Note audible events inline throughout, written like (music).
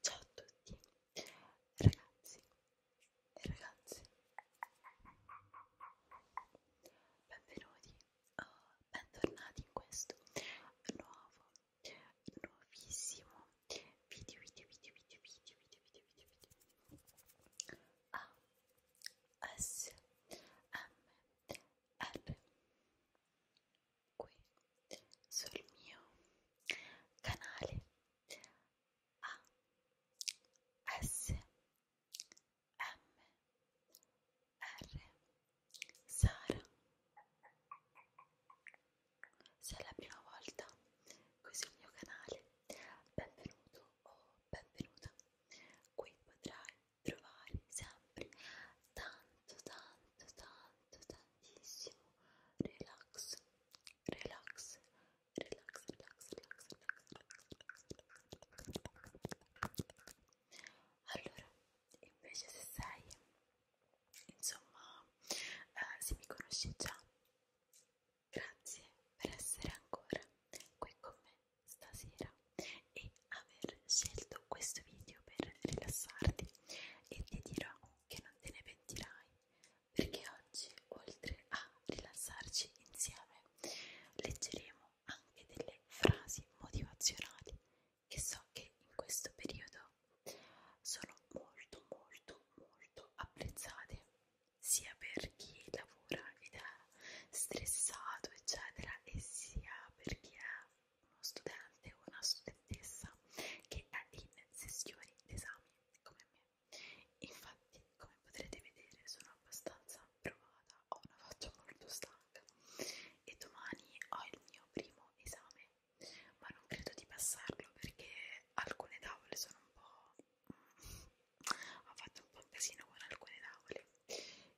Ciao a tutti ragazzi e ragazze benvenuti o oh, bentornati in questo nuovo nuovissimo video video video video video video video video video A S M R qui sul mio canale A S M R Sara se è la prima volta qui sul mio canale benvenuto o benvenuta qui potrai trovare sempre tanto tanto tanto tantissimo relax relax relax relax relax relax relax relax allora invece se sei insomma eh, se mi conosci già grazie per essere ancora qui con me stasera e aver scelto questo video per rilassarti e ti dirò che non te ne pentirai perché oggi oltre a rilassarci insieme leggeremo anche delle frasi motivazionali che so che in questo periodo sono molto molto molto apprezzate sia per chi lavora ed è stressato eccetera e sia per chi è uno studente o una studentessa che è in sessioni d'esami come me. Infatti, come potrete vedere, sono abbastanza provata, ho una faccia molto stanca e domani ho il mio primo esame, ma non credo di passarlo perché alcune tavole sono un po'... Mm, ho fatto un po' un casino con alcune tavole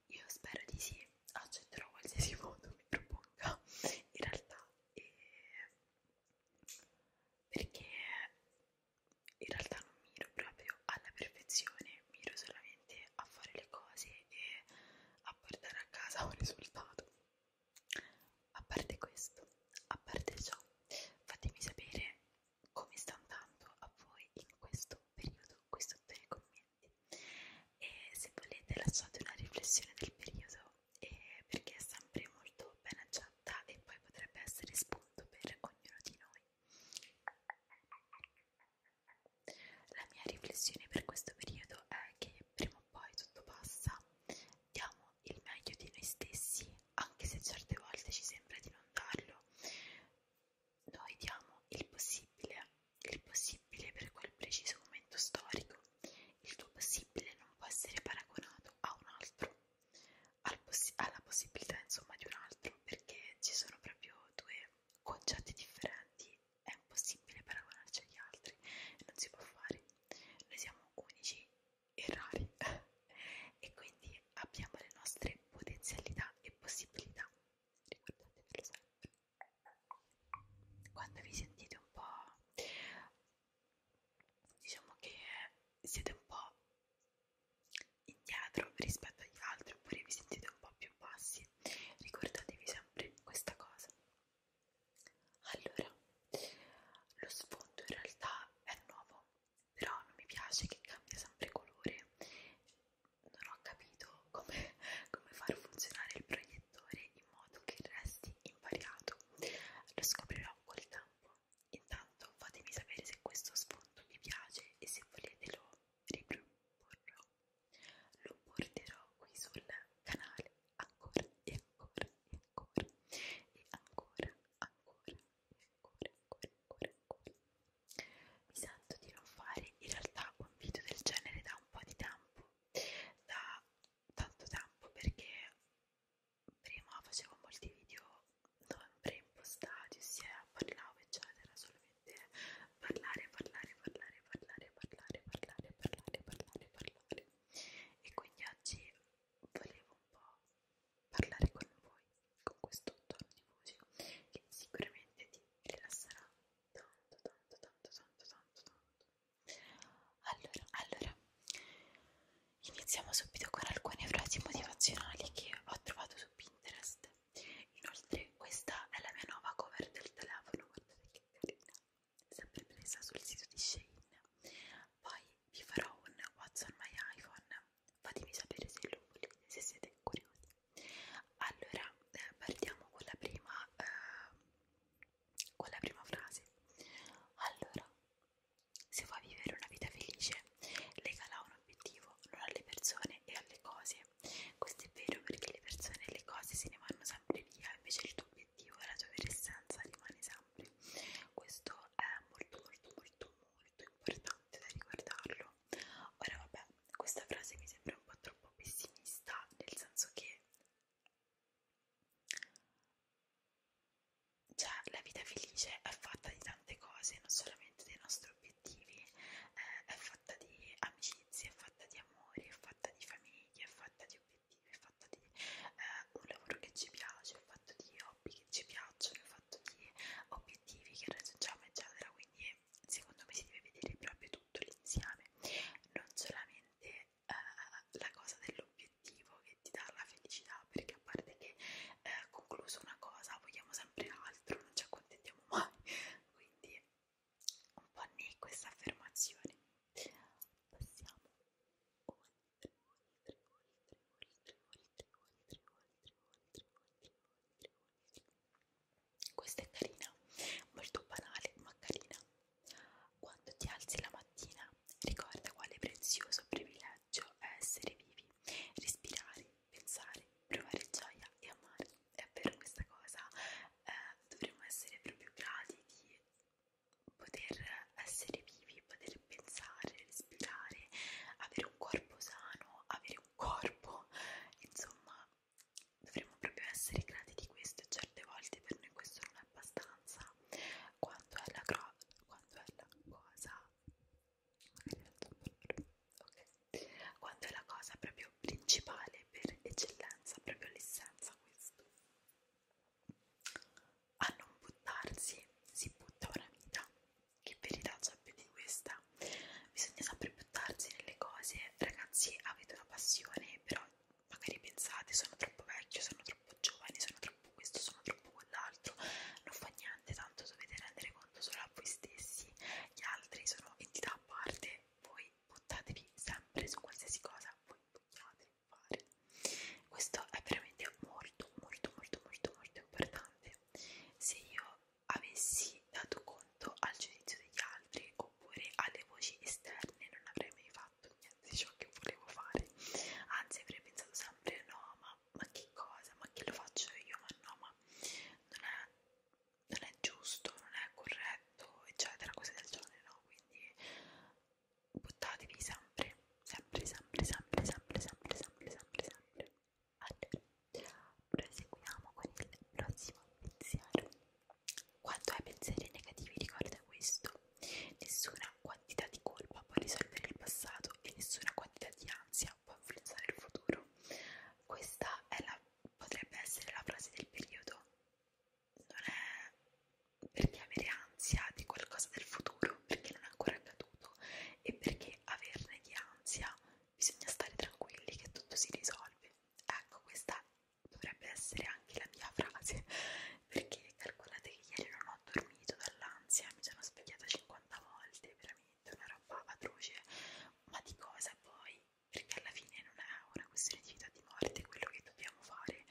io spero di sì, accetterò qualsiasi foto (laughs) mi proponga in realtà e... perché in realtà non miro proprio alla perfezione, miro solamente a fare le cose e a portare a casa un risultato. A parte questo, a parte ciò, fatemi sapere come sta andando a voi in questo periodo qui sotto nei commenti e se volete lasciate una riflessione del periodo eh, perché è sempre molto ben aggiornata e poi potrebbe essere spunto per ognuno di noi. La mia riflessione per questo periodo è che prima o poi tutto passa, diamo il meglio di noi stessi, anche se certe volte ci sembra di non darlo, noi diamo il possibile il possibile per quel preciso momento storico, il tuo possibile non può essere paragonato a un altro, al possi alla possibilità insomma di un altro, perché ci sono proprio due concetti differenti, è impossibile paragonarci agli altri, non si può fare, noi siamo unici e rari (laughs) e quindi abbiamo le nostre potenzialità e possibilità, ricordatevelo sempre quando vi sentite un po' diciamo che siete un po' indietro rispetto agli altri oppure vi sentite un po' più bassi ricordatevi sempre questa cosa allora lo sfondo in realtà è nuovo però non mi piace che cambia sempre colore non ho capito come, (laughs) come far funzionare il proiettile vettore in modo che resti invariato. Lo scoprirò col tempo. Intanto fatemi sapere se questo sfondo vi piace e se volete lo riproporrò. Lo porterò qui sul canale ancora e ancora e ancora e ancora, ancora, ancora, ancora, ancora, ancora. Mi sento di non fare in realtà un video del genere da un po' di tempo da tanto tempo perché prima facevo molti video non preimpostati, ossia eh, parlavo eccetera, solamente parlare, parlare, parlare, parlare, parlare, parlare, parlare, parlare, parlare e quindi oggi volevo un po' parlare con voi con questo tono di voce che sicuramente ti rilasserà tanto tanto tanto tanto tanto tanto allora, allora, iniziamo subito con alcune frasi motivazionali che ho trovato su Pinterest. Inoltre, questa è la mia nuova cover del telefono, guardate che carina, sempre presa sul sito di Shein. Poi vi farò un What's on my iPhone, fatemi sapere se lo volete, se siete curiosi. Allora, eh, partiamo con la prima eh, con la prima frase. Allora, se vuoi vivere una vita felice, legala un obiettivo, non alle persone e alle cose. Questo è vero perché le persone e le cose se ne vanno sempre via, invece il tuo obiettivo e la tua vera essenza rimane sempre. Questo è molto molto molto molto importante da riguardarlo. Ora vabbè, questa frase mi sembra un po' troppo pessimista, nel senso che cioè, la vita felice è fatta di tante cose, non solamente dei nostri obiettivi, eh, è fatta di amicizie, è fatta di amori, è fatta di famiglie, è fatta di obiettivi, è fatta di eh, un lavoro che ci piace, è fatta di hobby che ci piacciono, è fatta di obiettivi che raggiungiamo, eccetera. Quindi, secondo me, si deve vedere proprio tutto l'insieme, non solamente eh, la cosa dell'obiettivo che ti dà la felicità, perché a parte che eh, concluso una cosa vogliamo sempre altro, non ci accontentiamo mai, quindi un po' nì questa affermazione. Passiamo oltre, oltre, oltre, oltre, oltre, oltre, oltre, oltre, oltre, oltre, oltre, oltre. Questa è carina, molto banale ma carina. Quando ti alzi la mattina, ricorda quale prezioso privilegio è essere vivi, respirare, pensare, provare gioia e amare. È vero questa cosa, eh, dovremmo essere proprio grati di poter essere vivi, poter pensare, respirare, avere un corpo sano, avere un corpo, insomma dovremmo proprio essere grati di questo e certe volte per noi questo non è abbastanza quanto è la, quanto è la cosa okay. quanto è la cosa proprio principale per eccellenza proprio l'essenza questo a non buttarsi si butta una vita che verità c'è più di questa bisogna sempre buttarsi nelle cose ragazzi avete una passione però magari pensate sono troppo vecchio, sono troppo giovane, sono troppo questo, sono troppo quell'altro, non fa niente, tanto dovete rendere conto solo a voi stessi, gli altri sono entità a parte, voi buttatevi sempre su qualsiasi cosa voi vogliate fare. Questo è veramente molto, molto, molto, molto, molto importante. Se io avessi dato conto al giudizio degli altri o oppure alle voci esterne non avrei mai fatto niente di ciò che volevo fare anzi avrei pensato sempre no ma, ma che cosa ma che lo faccio io ma no ma non è, non è giusto non è corretto eccetera cose del genere no quindi buttatevi sempre sempre sempre sempre sempre sempre sempre sempre sempre allora proseguiamo con il prossimo pensiero quanto ai pensieri negativi riguardo a questo, nessuna quantità di colpa può risolvere il passato e nessuna quantità di ansia può influenzare il futuro. Questa è la, potrebbe essere la frase del periodo. Non è perché avere ansia di qualcosa del futuro, perché non è ancora accaduto e perché averne di ansia bisogna stare tranquilli che tutto si risolve. Ecco, questa dovrebbe essere anche la mia frase (laughs) perché calcolate che ieri non ho dormito dall'ansia mi sono svegliata 50 volte veramente una roba atroce ma di cosa poi? perché alla fine non è una questione di vita o di morte quello che dobbiamo fare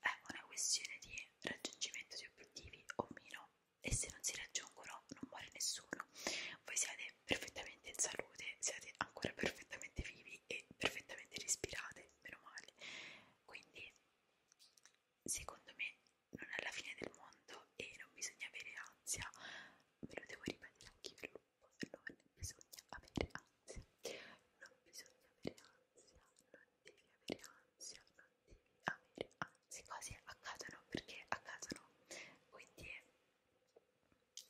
è una questione di raggiungimento di obiettivi o meno e se non si raggiungono non muore nessuno voi siete perfettamente in salute siete ancora perfettamente vivi normali e perfettamente respirate, meno male. Quindi, secondo me, non è la fine del mondo e non bisogna avere ansia. Me lo devo ripetere anche io, non bisogna avere ansia. Non bisogna avere ansia, non devi avere ansia, non devi avere ansia. Quasi accadono perché accadono, quindi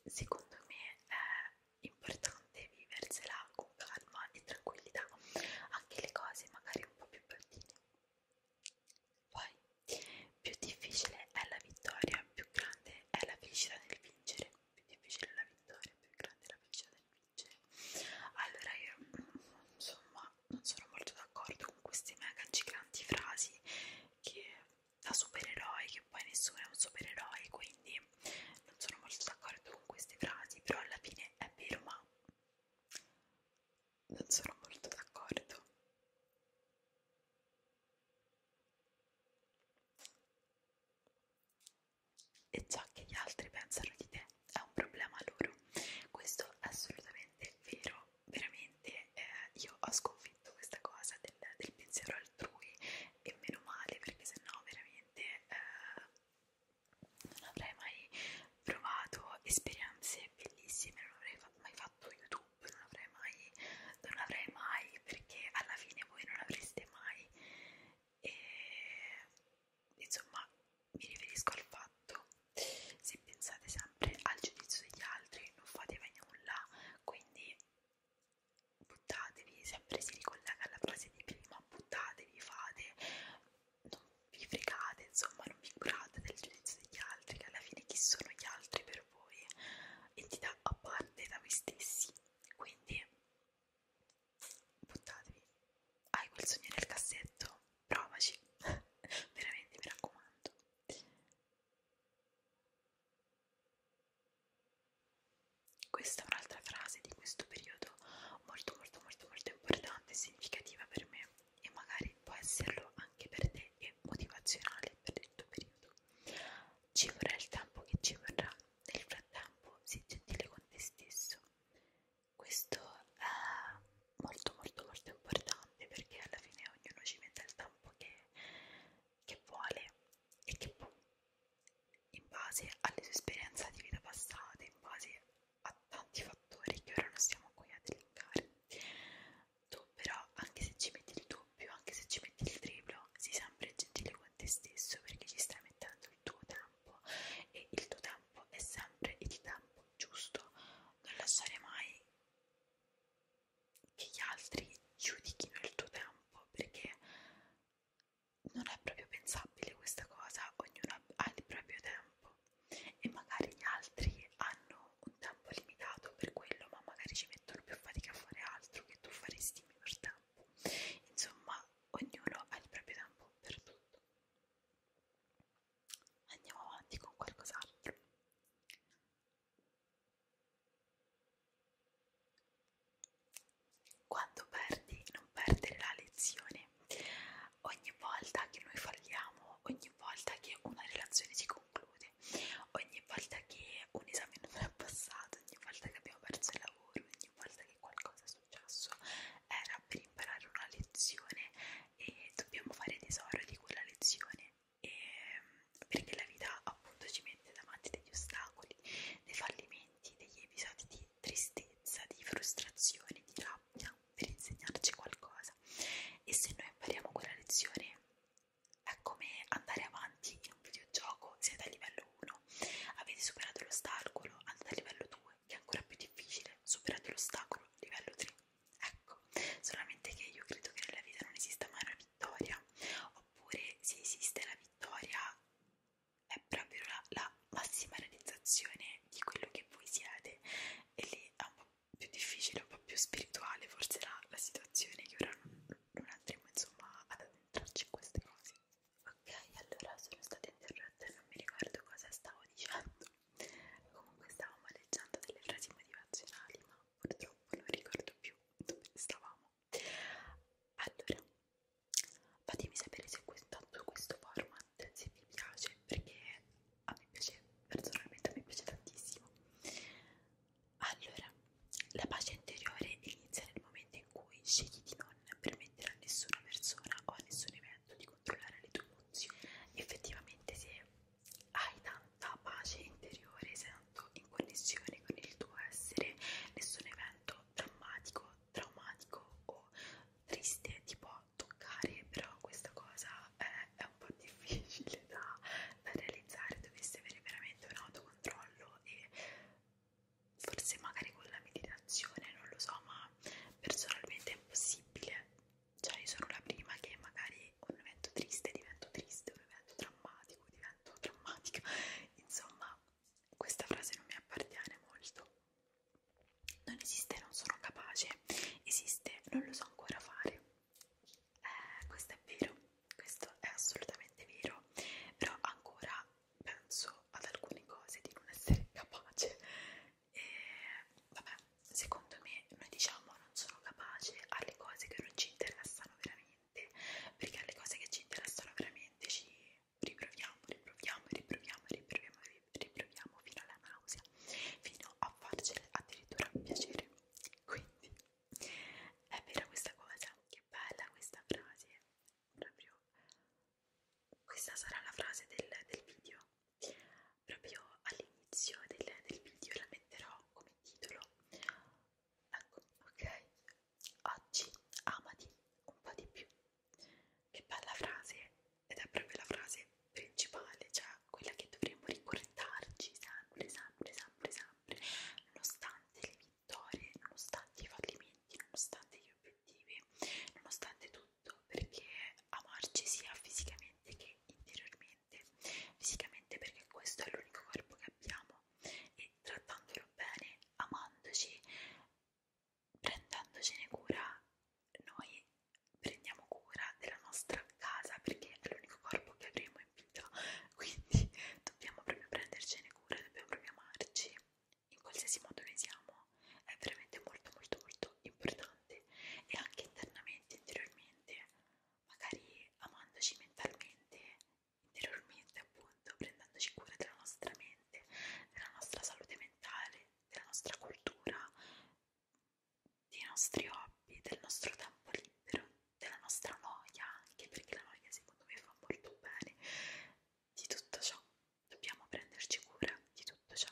secondo me è eh, importante viversela con calma e tranquillità, anche le cose magari un po' più bruttine. Poi, più difficile è la vittoria, più grande è la felicità nel vincere. Più difficile è la vittoria, più grande è la felicità nel vincere. Allora, io insomma, non sono molto d'accordo con queste mega giganti frasi che da supereroi perché poi nessuno è un supereroe, quindi non sono molto d'accordo con queste frasi, però alla fine è vero, ma non sono molto d'accordo. E ciò che gli altri pensano di te è un problema loro. Questo è assolutamente vero, veramente eh, io ho sconfitto questa cosa del, del pensiero altrui e meno male perché sennò veramente veramente eh, non avrei mai provato esperienze bellissime, non avrei mai fatto YouTube, non avrei mai, non avrei mai, perché alla fine voi non avreste mai. E, insomma, mi riferisco al fatto, se pensate sempre al giudizio degli altri, non fate mai nulla, quindi buttatevi, sempre si ricollega alla frase di prima, buttatevi, fate, non vi fregate, insomma non vi curate del giudizio degli altri, che alla fine chi sono gli altri per voi, entità a parte da voi stessi, quindi buttatevi, hai quel sogno nel cassetto, provaci, (laughs) veramente mi raccomando. Questa è un'altra frase di questo periodo molto molto molto molto importante e significativa per me e magari può esserlo anche per te e motivazionale per il tuo periodo. Ci vorrà il tempo che ci vorrà, nel frattempo sii gentile con te stesso. Questo è molto molto molto importante perché alla fine ognuno ci mette il tempo che, che vuole e che può in base alle sue esperienze di vita passate, in base a tanti fattori che ora non stiamo qui a elencare. Tu però, anche se ci metti il doppio, anche se ci metti il triplo, sii sempre gentile con te stesso perché ci stai mettendo il tuo tempo e il tuo tempo è sempre il tempo giusto. Non lasciare mai che gli altri giudichino il tuo tempo perché non è proprio pensabile questa cosa, ognuno ha il proprio tempo e magari gli altri hanno un tempo limitato per quello, ma magari ci mettono più fatica a fare altro che tu faresti minor tempo. Insomma, ognuno ha il proprio tempo per tutto. Andiamo avanti con qualcos'altro. Quando perdi, non perdere la lezione. Ogni volta che noi falliamo, ogni volta che una relazione si conclude, ogni volta che un esame non è passato, ogni volta che abbiamo perso il lavoro, ogni volta che qualcosa è successo, era per imparare una lezione e dobbiamo fare tesoro di quella lezione. E perché la vita appunto ci mette davanti degli ostacoli, dei fallimenti momenti, degli episodi di tristezza, di frustrazione, di rabbia per insegnarci qualcosa e se noi impariamo quella lezione è come andare avanti in un videogioco, siete a livello 1, avete superato l'ostacolo, andate a livello 2 che è ancora più difficile, superate l'ostacolo, livello 3, ecco, solamente che io credo che nella vita non esista mai una vittoria, oppure se esiste la vittoria è proprio la, la massima realizzazione di quello che voi siete e lì è un po' più difficile, un po' più spirituale forse la, la situazione che ora non, non andremo insomma ad addentrarci in queste cose ok allora sono stata interrotta e non mi ricordo cosa stavo dicendo comunque stavamo leggendo delle frasi motivazionali ma purtroppo non ricordo più dove stavamo allora fatemi sapere se intanto questo format se vi piace perché a me piace personalmente a me piace tantissimo allora la pace interiore inizia nel momento in cui scegli di non permettere a nessuna persona o a nessun evento di controllare le tue emozioni effettivamente se hai tanta pace interiore sei tanto in connessione con il tuo essere nessun evento momento drammatico, traumatico o triste ti può toccare, però questa cosa è, è un po' difficile da, da realizzare, dovresti avere veramente un autocontrollo e forse magari con la meditazione, non lo so, ma personalmente è impossibile, cioè io sono la prima che magari un evento triste divento triste, un evento drammatico divento drammatica, (laughs) insomma questa frase non mi appartiene molto. Non esiste, non sono capace, esiste, non lo so ancora fare. Eh, questo è vero, questo è assolutamente vero, però ancora penso ad alcune cose di non essere capace. E, vabbè, secondo me noi diciamo non sono capace alle cose che non ci interessano veramente, perché alle cose che ci interessano veramente ci riproviamo, riproviamo, riproviamo, riproviamo, riproviamo fino alla nausea, fino a farcela addirittura piacere. Quindi è vera questa cosa, che bella questa frase, proprio questa sarà la frase del, del video. Proprio all'inizio del, del video la metterò come titolo. Ecco, ok, oggi amati un po' di più. Che bella frase, ed è proprio la frase principale, cioè quella che dovremmo ricordarci sempre, sempre, sempre, sempre, nonostante le vittorie, nonostante i fallimenti, nonostante gli obiettivi, nonostante tutto, perché amarci sia fisicamente che interiormente, fisicamente perché questo è l'unico corpo che abbiamo e trattandolo bene, amandoci, prendendocene cura noi prendiamo cura della nostra casa perché è l'unico corpo che avremo in vita quindi dobbiamo proprio prendercene cura dobbiamo proprio amarci in qualsiasi modo noi siamo è veramente molto molto molto importante e anche internamente interiormente magari amandoci mentalmente interiormente appunto prendendoci cura della nostra mente, della nostra salute mentale, della nostra cultura, dei nostri hobby, del nostro tempo libero, della nostra noia anche perché la noia secondo me fa molto bene, di tutto ciò dobbiamo prenderci cura di tutto ciò.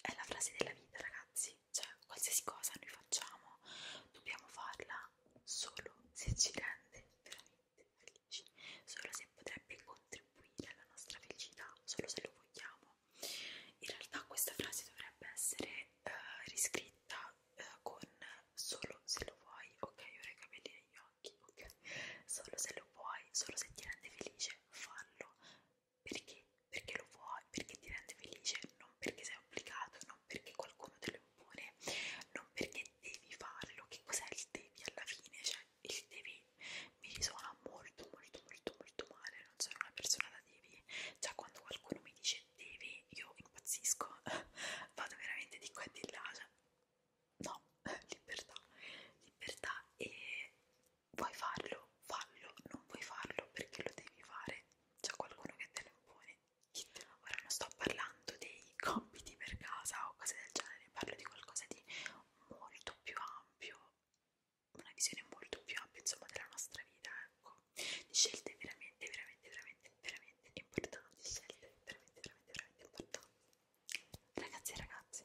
è la frase della vita ragazzi, cioè qualsiasi cosa noi facciamo dobbiamo farla solo se ci rende veramente felici, solo se potrebbe contribuire alla nostra felicità, solo se lo vogliamo. In realtà questa frase dovrebbe essere uh, riscritta uh, con solo se lo vuoi, ok, ora i capelli negli occhi, ok, solo se lo vuoi, solo se ti rende felice, fallo, perché? Perché lo vuoi, perché ti rende felice, non perché sei obbligato, non perché qualcuno te lo impone, non perché devi farlo. Che cos'è il devi alla fine? Cioè, il devi mi risuona molto, molto, molto, molto male. Non sono una persona da devi. Già, quando qualcuno mi dice devi, io impazzisco, (laughs) vado veramente di qua e di là. Cioè, no, (laughs) libertà, libertà e vuoi farlo, fallo, non vuoi farlo perché lo devi fare, c'è qualcuno che te lo impone. Ora non sto parlando dei compiti per casa o cose del genere, parlo di qualcosa di molto più ampio, una visione molto più ampia insomma della nostra vita, ecco, di scelte veramente, veramente, veramente, veramente importanti, scelte veramente, veramente, veramente importanti. Ragazzi e ragazze,